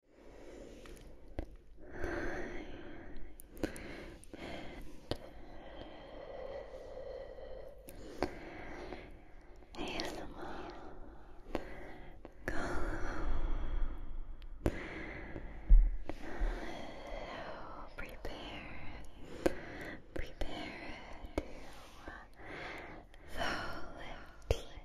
so prepare, prepare to fall deep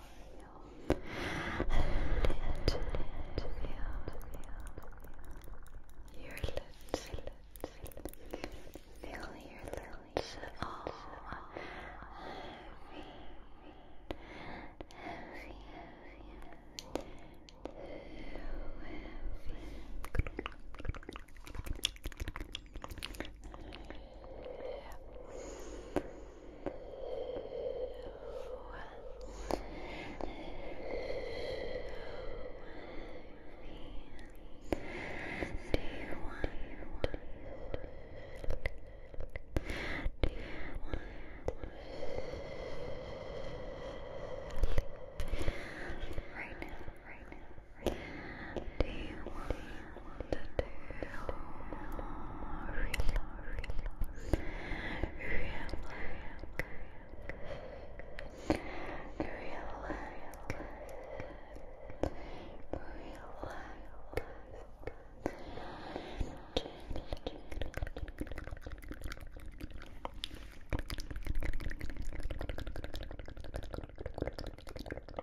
you your lips, feel your lips heavy, heavy, heavy, heavy. Right now, right now, right now. Do you want to do. Relax. Relax. Relax. Relax.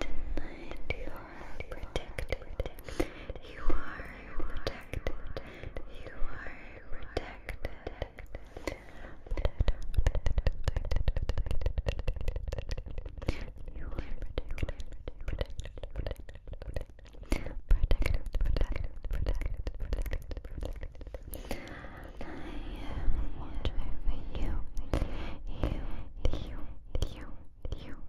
Tonight you are protected. You are protected. You are protected. I am watching you. You. You. You. You.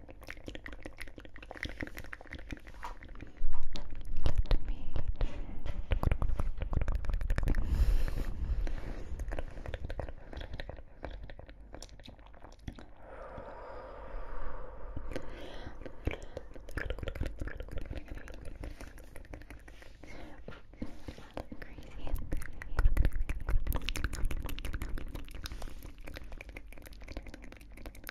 Crazy.